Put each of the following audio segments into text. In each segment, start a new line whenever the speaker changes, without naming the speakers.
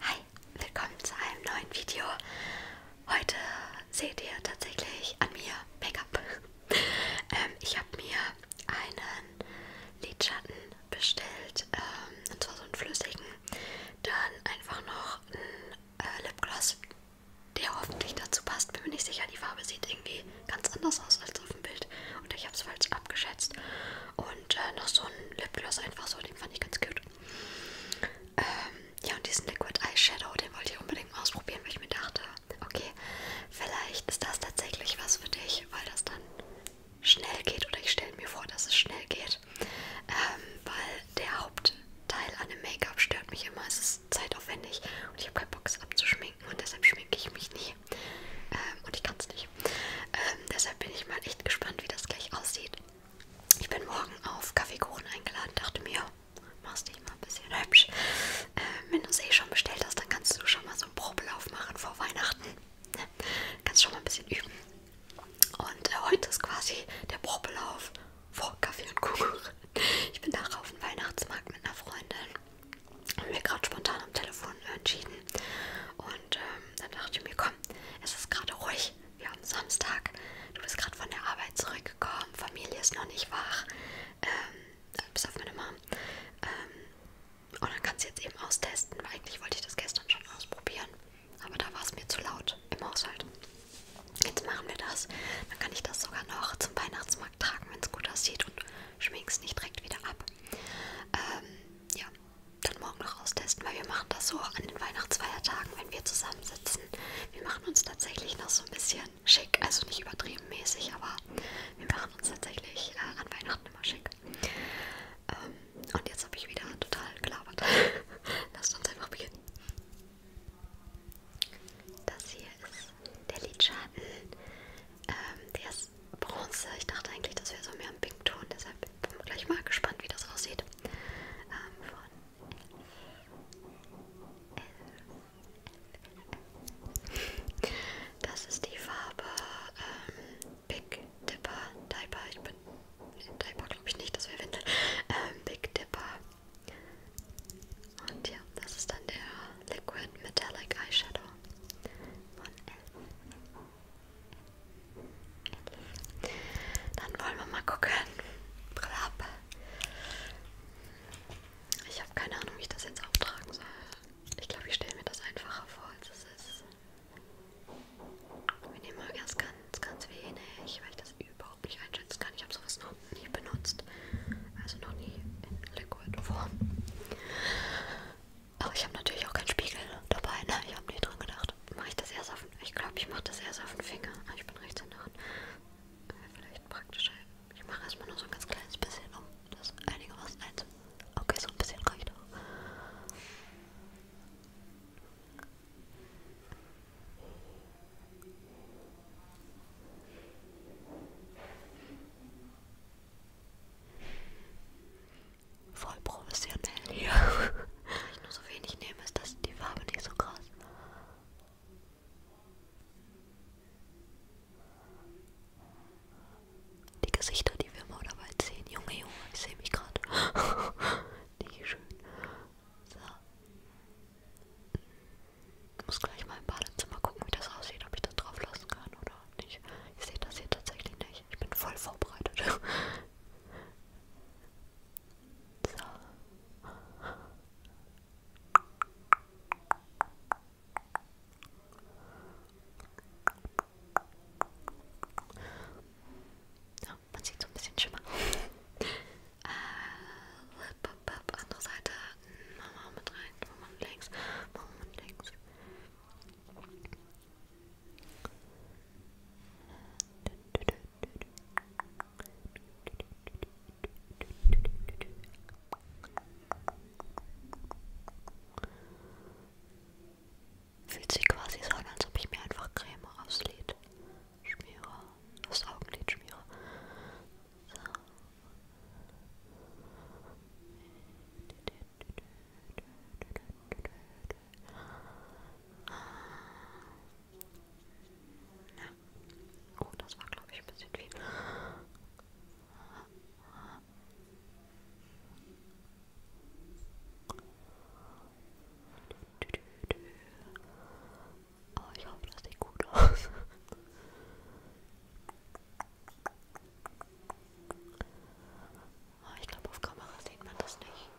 Hi, willkommen zu einem neuen Video. Heute seht ihr tatsächlich an mir Make-up. ähm, ich habe mir einen Lidschatten bestellt, ähm, und zwar so einen flüssigen. Dann einfach noch einen äh, Lipgloss der hoffentlich dazu passt. Bin mir nicht sicher, die Farbe sieht irgendwie ganz anders aus als auf dem Bild. Und ich habe es falsch abgeschätzt. Und äh, noch so ein Lipgloss einfach so, den fand ich ganz cute. Ähm, ja, und diesen Liquid Eyeshadow, den wollte ich unbedingt mal ausprobieren, weil ich mir dachte, okay, vielleicht ist das tatsächlich was für dich, weil das dann schnell geht. Oder ich stelle mir vor, dass es schnell geht. Ähm, weil der Hauptteil an dem Make-up stört mich immer. Es ist zeitaufwendig und ich habe keinen Bock, es abzuschmieren schminken und deshalb schminke ich mich nie. Ähm, und ich kann es nicht. Ähm, deshalb bin ich mal echt gespannt, wie das gleich aussieht. Ich bin morgen auf Kaffeekuchen eingeladen, dachte mir, machst dich mal ein bisschen hübsch. Ähm, wenn du es eh schon bestellt hast, dann kannst du schon mal so einen Probelauf machen vor Weihnachten. Ne? kannst schon mal ein bisschen üben. Und äh, heute ist quasi der Probelauf vor Kaffee und Kuchen. Ich bin nachher auf den Weihnachtsmarkt mit einer Freundin. Haben wir gerade spontan am Telefon entschieden. Und ähm, dann dachte ich mir, komm, es ist gerade ruhig. Wir haben Samstag. Du bist gerade von der Arbeit zurückgekommen. Familie ist noch nicht wach. Ähm, bis auf meine Mom. Ähm, und dann kannst du jetzt eben austesten, weil eigentlich wollte ich das gestern schon ausprobieren. Aber da war es mir zu laut im Haushalt. Jetzt machen wir das. Dann kann ich das sogar noch zum Weihnachtsmarkt tragen, wenn es gut aussieht und schmink es nicht direkt wieder ab. Ähm, ja, dann morgen noch austesten, weil wir machen das so an den Weihnachtsfeiertagen, wenn wir zusammensitzen. Wir machen uns tatsächlich noch so ein bisschen schick, also nicht übertrieben mäßig, aber wir machen uns tatsächlich äh, an Weihnachten immer schick. Ähm, und jetzt habe ich wieder total gelabert. Lasst uns einfach beginnen. Das hier ist der Lidschatten. Ähm, der ist bronze. Ich dachte eigentlich, das wäre so mehr ein Pinkton. Deshalb bin ich gleich mal gespannt, wie das aussieht. Ähm, von das ist die Farbe ähm, Big Dipper Diaper. Ich bin Diaper glaube ich nicht, das wäre Windel. Ähm, Big Dipper und ja, das ist dann der Liquid Metallic Eyeshadow von Elf. Dann wollen wir mal gucken. Brille ab. Ich habe keine Ahnung, wie ich das jetzt auftragen soll. Ich glaube, ich stelle mir das einfacher vor, als es ist. Wir nehmen mal erst ganz, ganz wenig, weil ich das über überhaupt nicht einschätzen kann. Ich habe sowas noch nie benutzt. Also noch nie in Liquid-Form. Aber ich habe natürlich auch keinen Spiegel dabei. Ne? Ich habe nie dran gedacht. Mache ich das erst auf den Ich glaube, ich mache das erst auf den Finger. Ah, ich bin Rechtshänderin. Wäre vielleicht praktischer. Ich mache erstmal nur so ein ganz kleines bisschen, um das einigermaßen einzu. Okay, so ein bisschen reicht auch. Voll professionell hier. Weil ich nur so wenig nehme, ist das die Farbe nicht so krass. Die Gesichter, die wir mal dabei sehen. Junge, Junge, ich sehe mich gerade. Nicht schön. So. Ich muss gleich mal im Badezimmer gucken, wie das aussieht, ob ich das drauf lassen kann oder nicht. Ich sehe das hier tatsächlich nicht. Ich bin voll vorbereitet. so. Ja, man sieht so ein bisschen Schimmer. Äh, pop, pop, andere Seite. Mama mit rein, Mama mit links, Mama mit links. Fühlt sich quasi so an, als ob ich mir einfach Creme aufs Lid schmiere, aufs Augenlid schmiere. So. Ja. Oh, das war, glaube ich, ein bisschen viel. Oh, ich hoffe, das sieht gut aus. Oh, ich glaube, auf Kamera sieht man das nicht.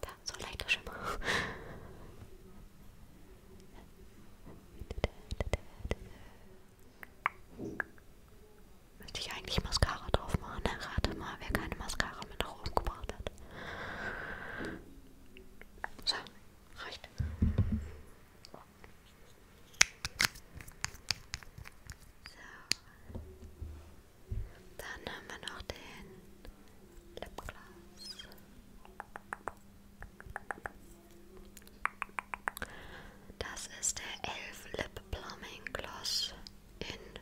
Da, so leichter Schimmer. Müsste ich eigentlich Mascara drauf machen? Ne? Rate mal, wer keine Mascara mit nach oben gebracht hat. So, reicht. So. Dann haben wir noch den Lipgloss. Das ist der Elf Lip Plumbing Gloss in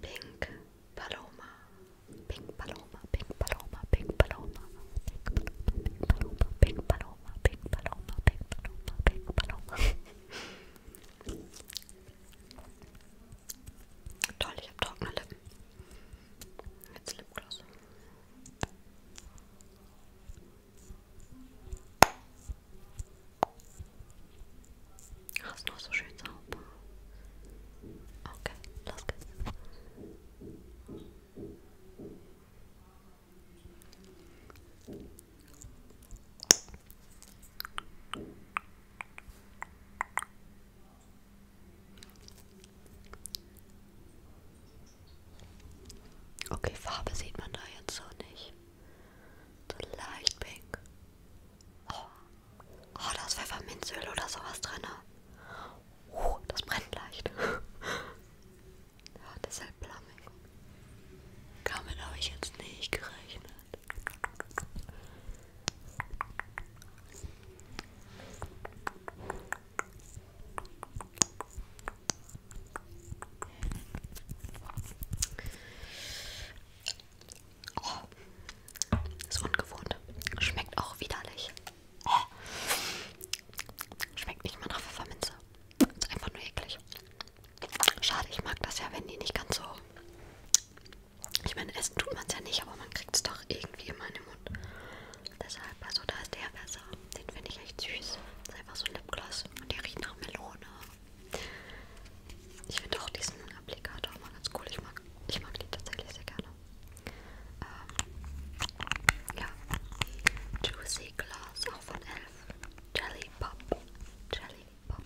Pink Paloma, Pink Paloma, Pink Paloma, Pink Paloma, Pink Paloma, Pink Paloma, Pink Paloma, Pink Paloma, Pink Paloma. Toll, ich habe trockene Lippen. Jetzt Lipgloss. Ach, ist noch so schön sauber. Okay, los geht's. Okay, Farbe sieht man da jetzt so nicht. So leicht pink. Oh, oh da ist Pfefferminzöl oder sowas drin. Oh, das brennt leicht. ja, deshalb Plumbing. Damit habe ich jetzt nicht gerechnet. Oh, ist ungewohnt. Schmeckt auch widerlich. Oh. Schmeckt nicht mal nach Pfefferminze. Ist einfach nur eklig. Schade, ich mag das ja, wenn die nicht ganz so. Ich meine, essen tut man es ja nicht, aber man kriegt es doch irgendwie immer in den Mund. Deshalb, also da ist der besser. Den finde ich echt süß. Das ist einfach so ein Lipgloss und der riecht nach Melone ich finde auch diesen Applikator mal ganz cool. Ich mag, ich mag die tatsächlich sehr gerne. Ähm, ja. Juicy Glass, auch von Elf. Jelly Pop. Jelly Pop.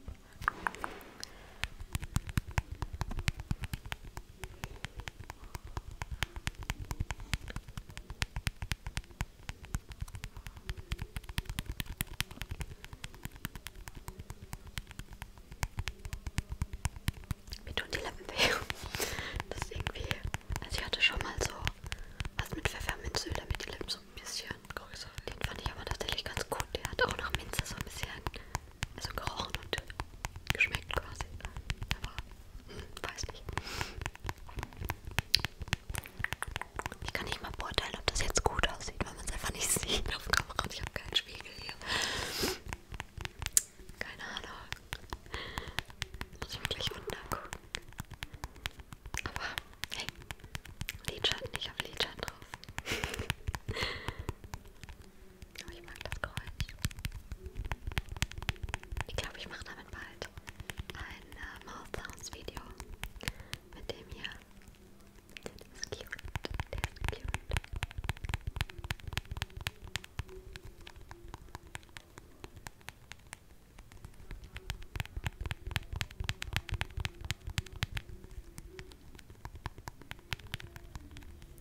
Mir tun die Lippen weh. Das ist irgendwie. Also, ich hatte schon mal so was mit Pfefferminzöl, damit die Lippen so ein bisschen größer Den fand ich aber tatsächlich ganz gut. Der hat auch nach Minze so ein bisschen also gerochen und geschmeckt quasi. Aber, hm, weiß nicht. Ich kann nicht mal beurteilen, ob das jetzt gut aussieht, weil man es einfach nicht sieht auf Kamera. Ich habe keinen Spiegel hier. Keine Ahnung. Muss ich mir gleich runtergucken. Aber hey, Lidschatten, ich habe Lidschatten drauf. Aber ich mag das Geräusch. Ich glaube, ich mache damit bald ein äh, Mouth Sounds Video mit dem hier. Der ist cute. Der ist cute.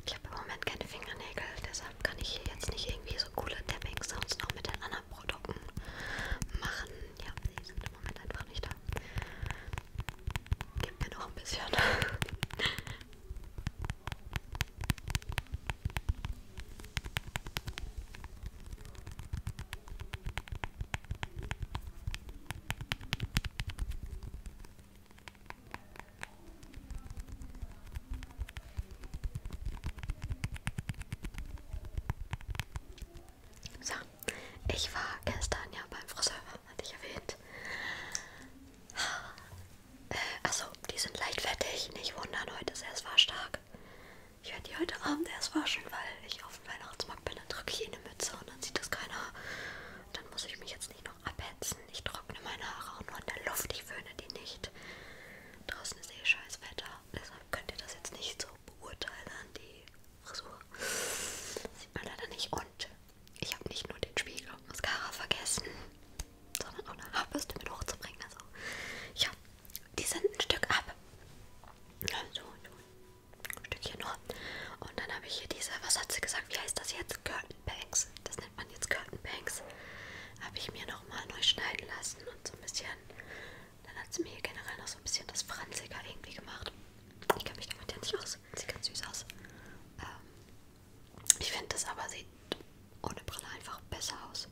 Ich habe im Moment keine Fingernägel, deshalb kann ich hier jetzt nicht irgendwie so coole Tapping-Sounds noch mit den anderen Produkten machen. Ja, die sind im Moment einfach nicht haben. Gib mir noch ein bisschen. So, ich war gestern ja beim Friseur, hatte ich erwähnt. Also, die sind leicht fettig, nicht wundern, heute ist erst war stark. Ich werde die heute Abend erst waschen, weil ich auf dem Weihnachtsmarkt bin, dann trage ich eine Mütze und dann sieht das keiner. Dann muss ich mich jetzt nicht noch abhetzen. Ich trockne meine Haare auch nur in der Luft, ich föhne die nicht. Draußen ist eh scheiß Wetter, deshalb könnt ihr das jetzt nicht so beurteilen, die Frisur. Sieht man leider nicht. Und ich habe nicht nur den Spiegel und Mascara vergessen, sondern auch eine Haarbürste mit hochzubringen. Also, ja, die sind ein Stück ab. So, ein Stückchen nur. Und dann habe ich hier diese, was hat sie gesagt? Wie heißt das jetzt? Curtain Banks. Das nennt man jetzt Curtain Banks. Habe ich mir nochmal neu schneiden lassen und so ein bisschen dann hat sie mir hier generell noch so ein bisschen das Franziger irgendwie gemacht. Ich kenne mich damit ja nicht aus. Sieht ganz süß aus. Ähm, ich finde, das aber sieht ohne Brille einfach besser aus.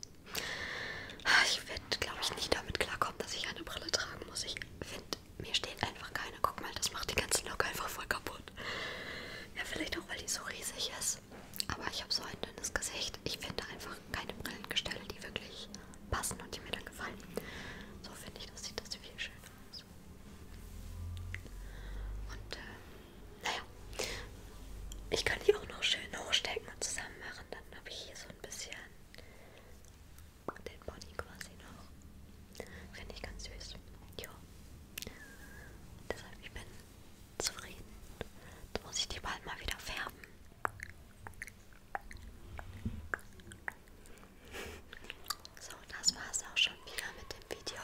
Ich werde, glaube ich, nicht damit klarkommen, dass ich eine Brille tragen muss. Ich finde, mir steht einfach keine. Guck mal, das macht den ganzen Look einfach voll kaputt. Ja, vielleicht auch, weil die so riesig ist. Aber ich habe so ein dünnes Gesicht. Ich finde einfach keine Brillengestelle, die wirklich passen und die mir dann gefallen. So finde ich, das sieht das viel schöner aus. Und äh, naja, ich kann die auch noch schön hochstecken und zusammen machen. Dann habe ich hier so ein bisschen den Body quasi noch. Finde ich ganz süß. Ja. Deshalb, ich bin zufrieden. Jetzt muss ich die bald mal wieder färben. So, das war es auch schon wieder mit dem Video.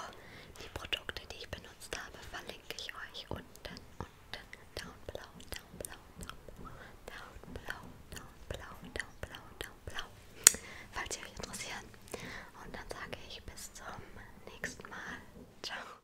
Die Produkte, die ich benutzt habe, verlinke ich euch unten, unten, down blau, down blau, down blau, down blau, down blau, down blau, down blau, falls ihr euch interessiert. Und dann sage ich bis zum nächsten Mal. Ciao.